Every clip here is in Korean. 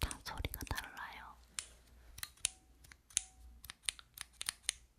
다 소리가 달라요.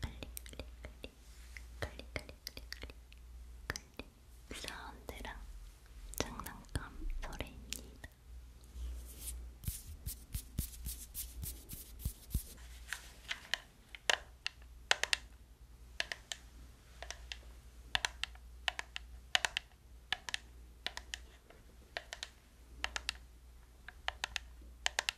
클릭, 클릭, 클릭, 클릭, 클릭, 사운드랑 장난감 소리입니다.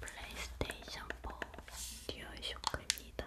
플레이스테이션 4 듀얼쇼크입니다.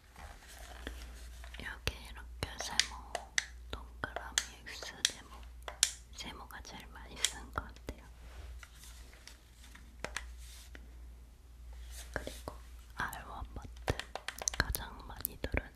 여기 이렇게 세모, 동그라미 X 세모, 세모가 제일 많이 쓴 것 같아요. 그리고 R1 버튼 가장 많이 누르는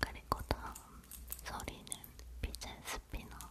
그리고 다음 소리는 피젯 스피너입니다.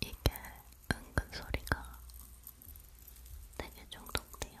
이게 은근 소리가 되게 중독돼요.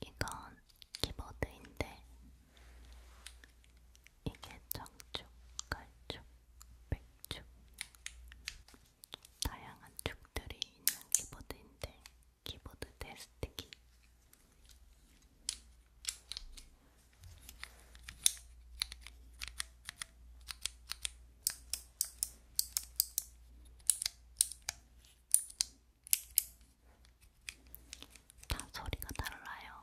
이건 키보드인데 이게 정축, 갈축, 백축 다양한 축들이 있는 키보드인데 키보드 데스티기 다 소리가 달라요.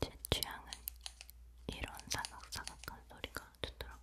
제 취향은 이런 사각사각한 소리가 좋더라고요.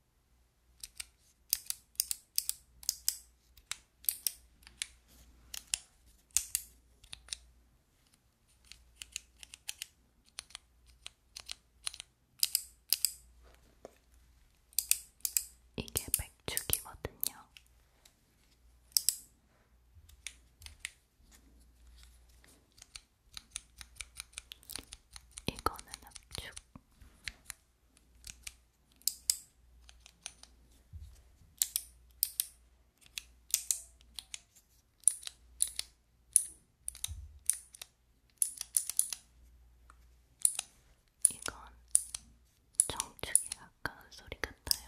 이게 백축이거든요. 이거는 압축. 이건 정축에 가까운 소리 같아요.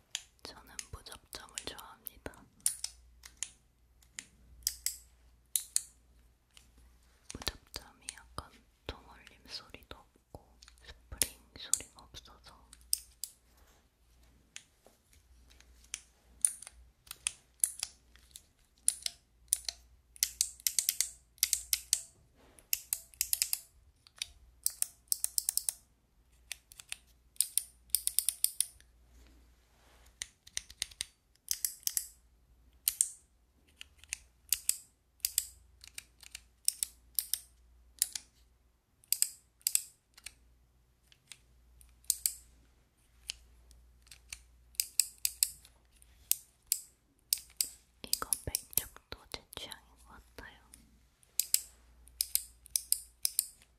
저는 무접점을 좋아합니다. 무접점이 약간 통올림 소리도 없고 스프링 소리가 없어서 이거 백쪽도 제 취향인 것 같아요.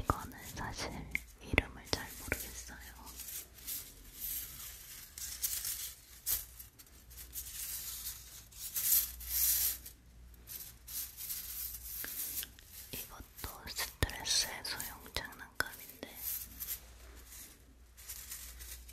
이거는 사실 이름을 잘 모르겠어요. 이것도 스트레스 해소용 장난감인데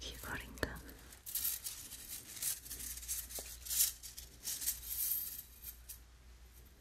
귀걸인가?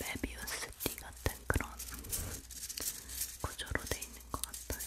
메비우스 띠 같은 그런 구조로 돼 있는 것 같아요.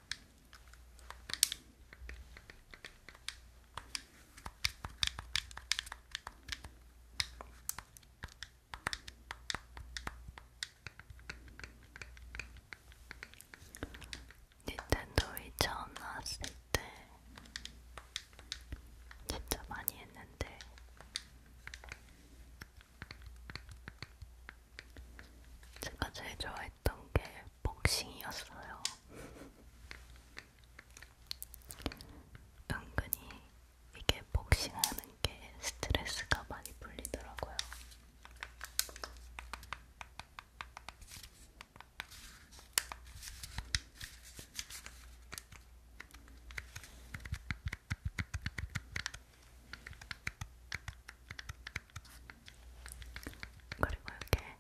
닌텐도 이 처음 나왔을 때 진짜 많이 했는데 제가 제일 좋아했던 게 복싱이었어요. 은근히 이게 복싱하는 게 스트레스가 많이 풀리더라고요. 그리고 이렇게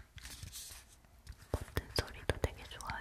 버튼 소리도 되게 좋아요.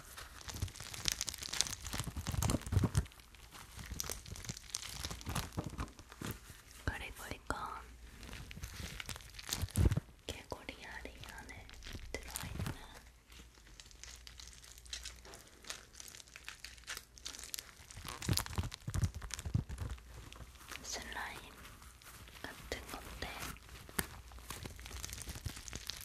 그리고 이건 개구리 알이 안에 들어있는 슬라임 같은 건데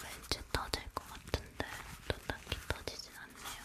왠지 터질 것 같은데 또 딱히 터지진 않네요.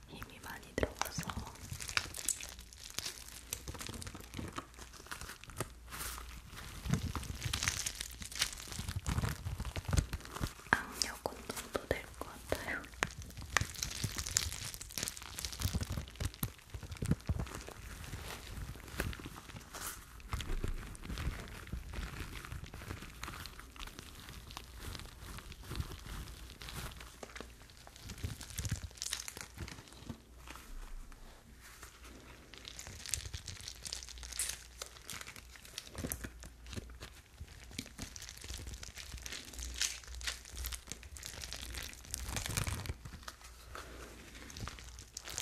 힘이 많이 들어가서 악력 운동도 될 것 같아요.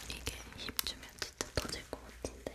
이게 힘주면 진짜 터질 것 같은데.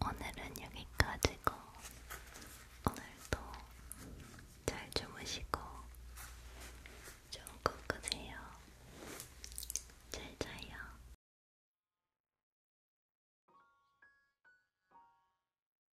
오늘은 여기까지고 오늘도 잘 주무시고 좋은 꿈 꾸세요. 잘 자요.